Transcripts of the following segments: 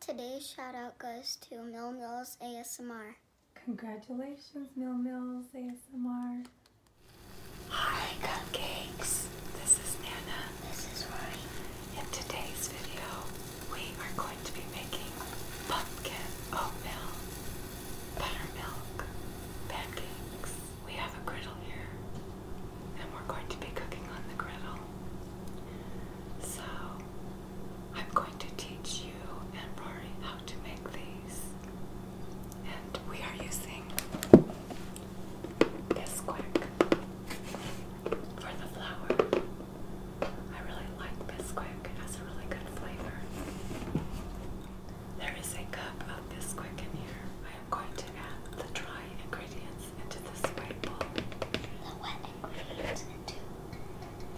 Today's shout out goes to Mill Mills ASMR. Congratulations, Mill Mills ASMR. Hi, cupcakes. This is Nana. This is Rory. In today's video, we are going to be making pumpkin oatmeal, buttermilk, pancakes. We have a griddle here, and we're going to be cooking on the griddle. So I'm going to teach you and Rory how to make these. And we are using this quick for the flour. I really like Bisquick. It has a really good flavor. There is a cup of Bisquick in here. I am going to add the dry ingredients into this bowl. The wet ingredients into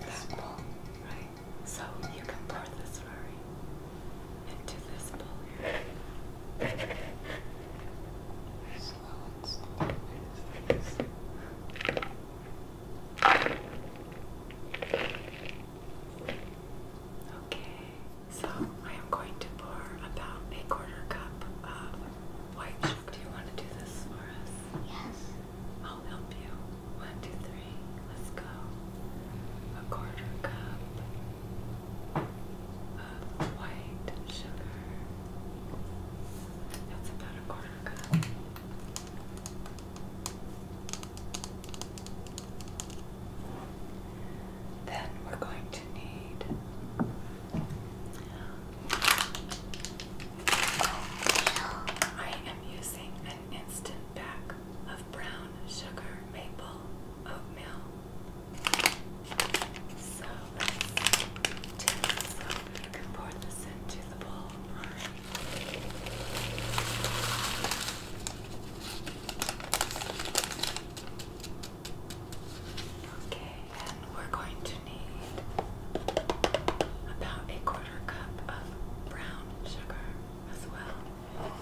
this bowl. Right. So you can pour this slurry into this bowl Slow and slow. Okay, so I am going to pour about a quarter cup of white do you want to do this for us? Yes. I'll help you. One, two, three. Let's go. A quarter cup of white sugar. That's about a quarter cup. Then we're going I am using an instant pack of brown sugar maple oatmeal. So let's You can pour this into the bowl. Okay, and we're going to need about a quarter cup of brown sugar as well.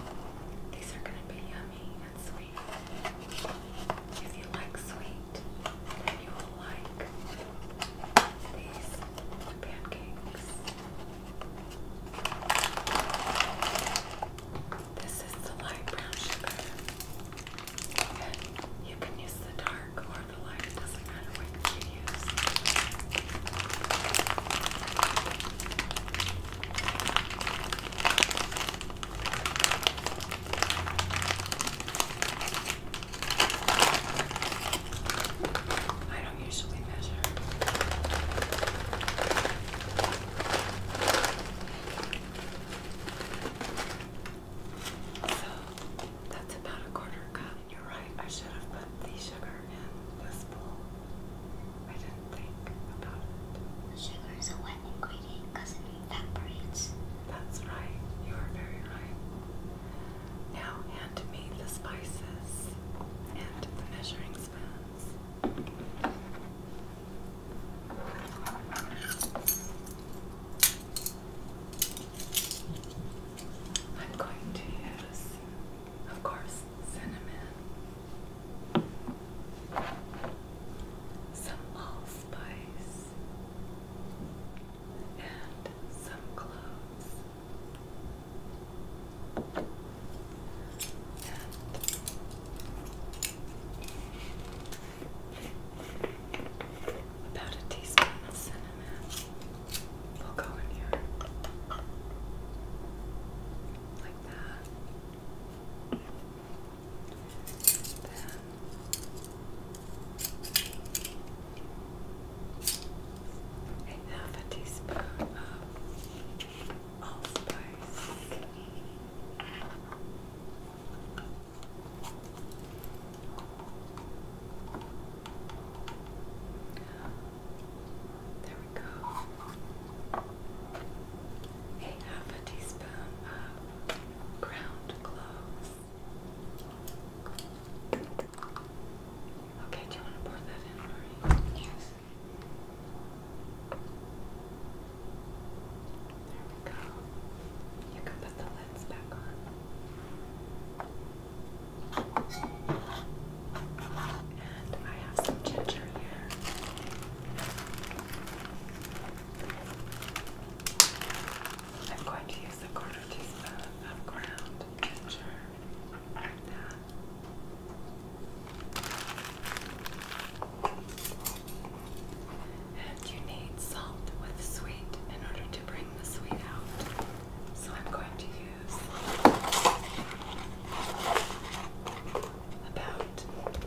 These are going to be yummy and sweet. If you like sweet, you will like these pancakes. This is the light brown sugar. you can use the dark or the light, doesn't matter what you use. I don't usually measure. So that's about a quarter cup. You're right, I should have put the sugar in this bowl. I didn't think about it. Sugar is a wet ingredient because it evaporates. That's right, you are very right. Now hand me the spices and the measuring spoons. I'm going to use, of course, cinnamon, some allspice, and some cloves about a teaspoon of cinnamon will go in here like that. Then a teaspoon of allspice. There we go. A half a teaspoon of ground cloves. Okay, do you want to pour that in, Marie? Yes. There we go. You can put the lids back on. And I have some ginger here. I'm going to use a quarter teaspoon of ground ginger and you need salt with sweet in order to bring the sweet out. So I'm going to use about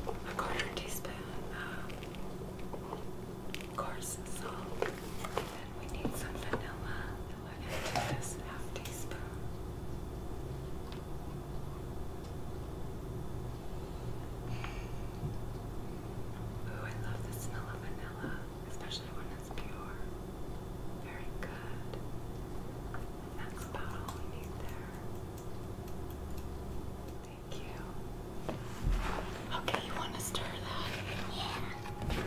a quarter teaspoon of coarse salt. And we need some vanilla. We're going to use half teaspoon. Ooh, I love the smell of vanilla, especially when it's pure. Very good. that's about all we need there. Thank you. Okay, you want to stir that? Yeah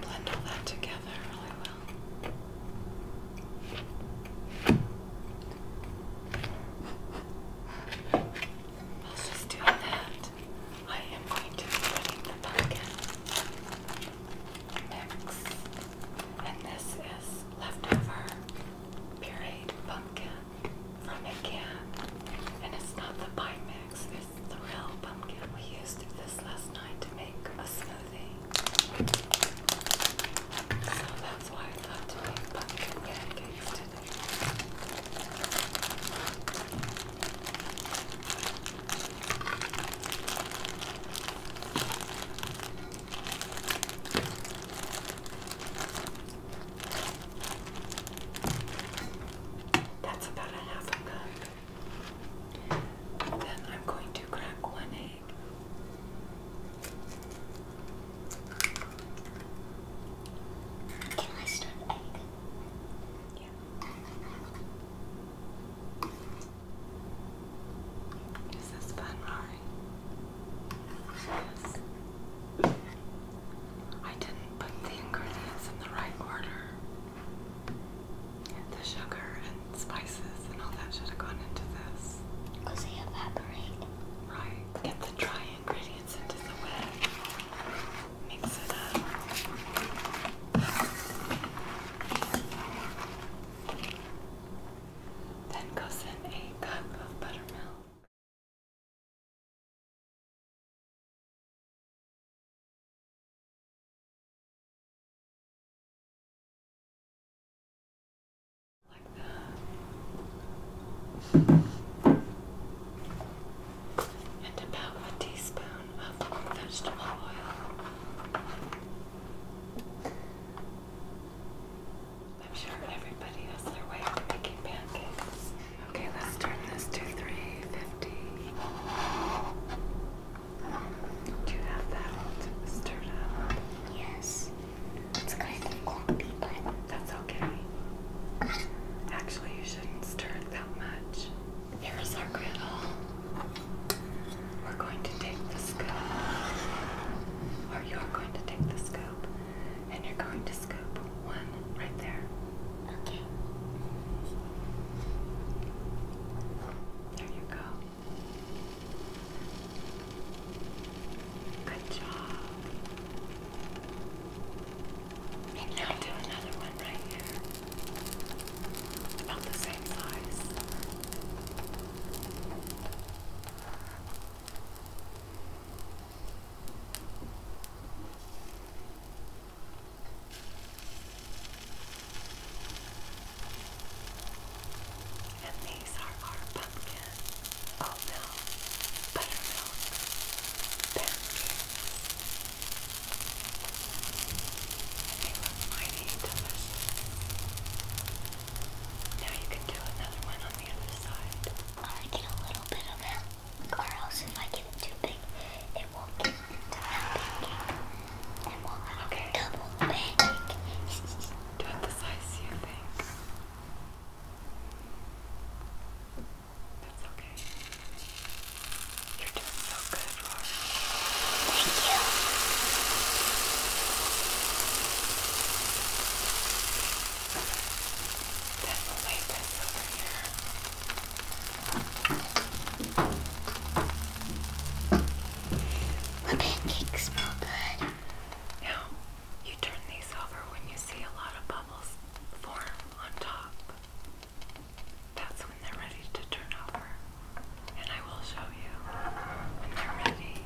blend all that together really well. While she's doing that, I am going to be putting the pumpkin mix. And this is leftover pureed pumpkin from a And it's not the pie mix next is the real pumpkin. We used this last night to make a smoothie. So that's why I thought to make pumpkin pancakes today. That's about a half a cup. Then I'm going to crack one egg. Can I start egg? Yeah. Is this fun, Mari? Yes. I didn't put the ingredients in the right order. The sugar and spices and all that should have gone into this. they oh, evaporate. Right. Get the dry ingredients into the wet. Mix it up. Then goes in a cup of buttermilk. And about a teaspoon of vegetable oil. I'm sure everybody has their way of making pancakes. Okay, let's turn this to 350. Do you have that all Yes. It's kind of clumpy, but that's okay. Actually, you shouldn't stir it that much. Here is our griddle. We're going to take the scoop, or you're going to take the scoop, and you're going to scoop one one right there. There you go. Good job. now do another one right here. about the same size. And these are our pumpkin, oatmeal, buttermilk pancakes. Now you can do another one on the other side. I did a little bit of that or else if I get it too big, it will get into my pancake, and we'll have okay. double pancake. Do it the size you think. That's okay. You're doing so good, Rory. Thank you. Then we'll wait this over here. The pancakes smell good. Now, you turn these over when you see a lot of bubbles form on top. That's when they're ready to turn over. And I will show you when they ready.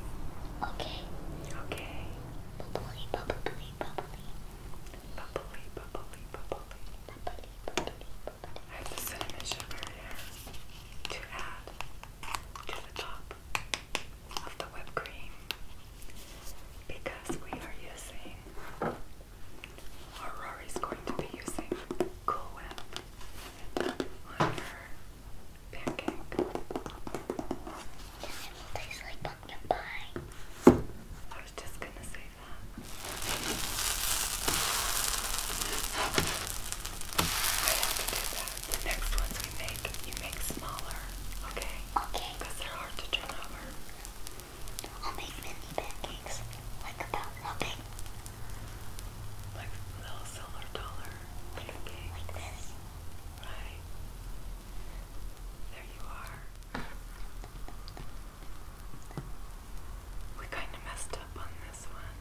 Okay. Okay bubbly, bubbly, bubbly. I have the cinnamon sugar to add to the top of the whipped cream because we are using, or Rory's going to be using Cool Whip on her pancake. And it will taste like pumpkin pie. I was just gonna say that. I have to do that. The next ones we make, you make smaller, okay? Okay. Because they're hard to turn over. I'll make mini pancakes, like about nothing. Like little silver dollar pancakes. Like this. Right. There you are. We kind of messed up on this one.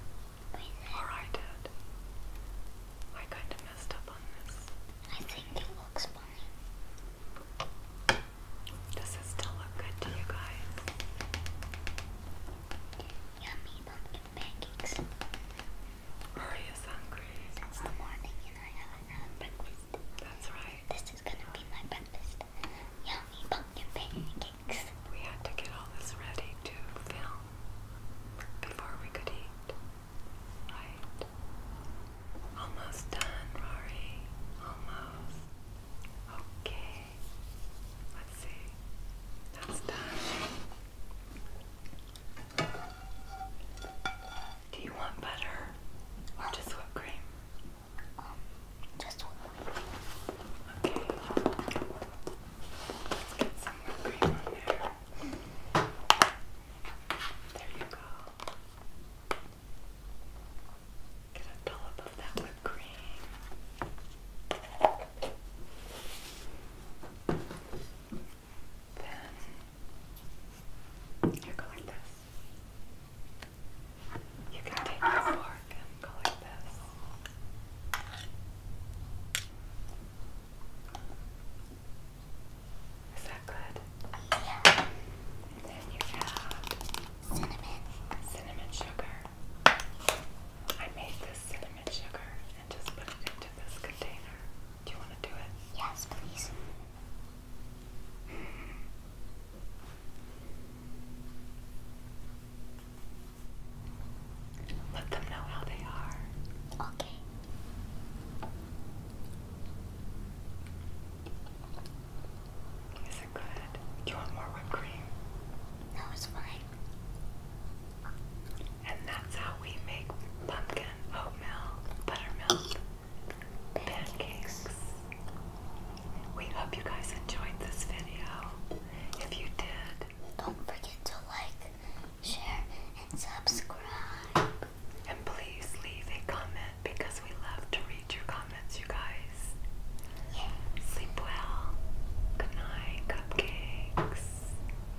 Or I did. I kind of messed up on this. I think it looks funny. Does it still look good to you guys? Yummy pumpkin pancakes. Hurry is hungry. It's the morning and I haven't had breakfast that's right. This is gonna be my breakfast. Yummy pumpkin pancakes. We had to get all this ready to film before we could eat. Right. Almost done, Rory. Almost. Okay. Let's see. That's done. Do you want butter or just whipped cream? just whipped cream. Okay. Let's get some whipped cream on there. There you go. Get a dollop of that whipped cream. Then you go like this. You can take your fork and go like this. Is that good? Yeah. And then you add cinnamon. Cinnamon sugar. I made this cinnamon sugar and just put it into this container. Do you want to do it? Yes, please. Let them know how they are. Okay. Is it good? Do you want more whipped cream? No, it's fine. And that's how we make pumpkin oatmeal buttermilk pancakes. We hope you guys enjoyed this video. If you did, don't forget to like, share, and subscribe. And please leave a comment because we love to read your comments, you guys. Sleep well. Good night, cupcakes.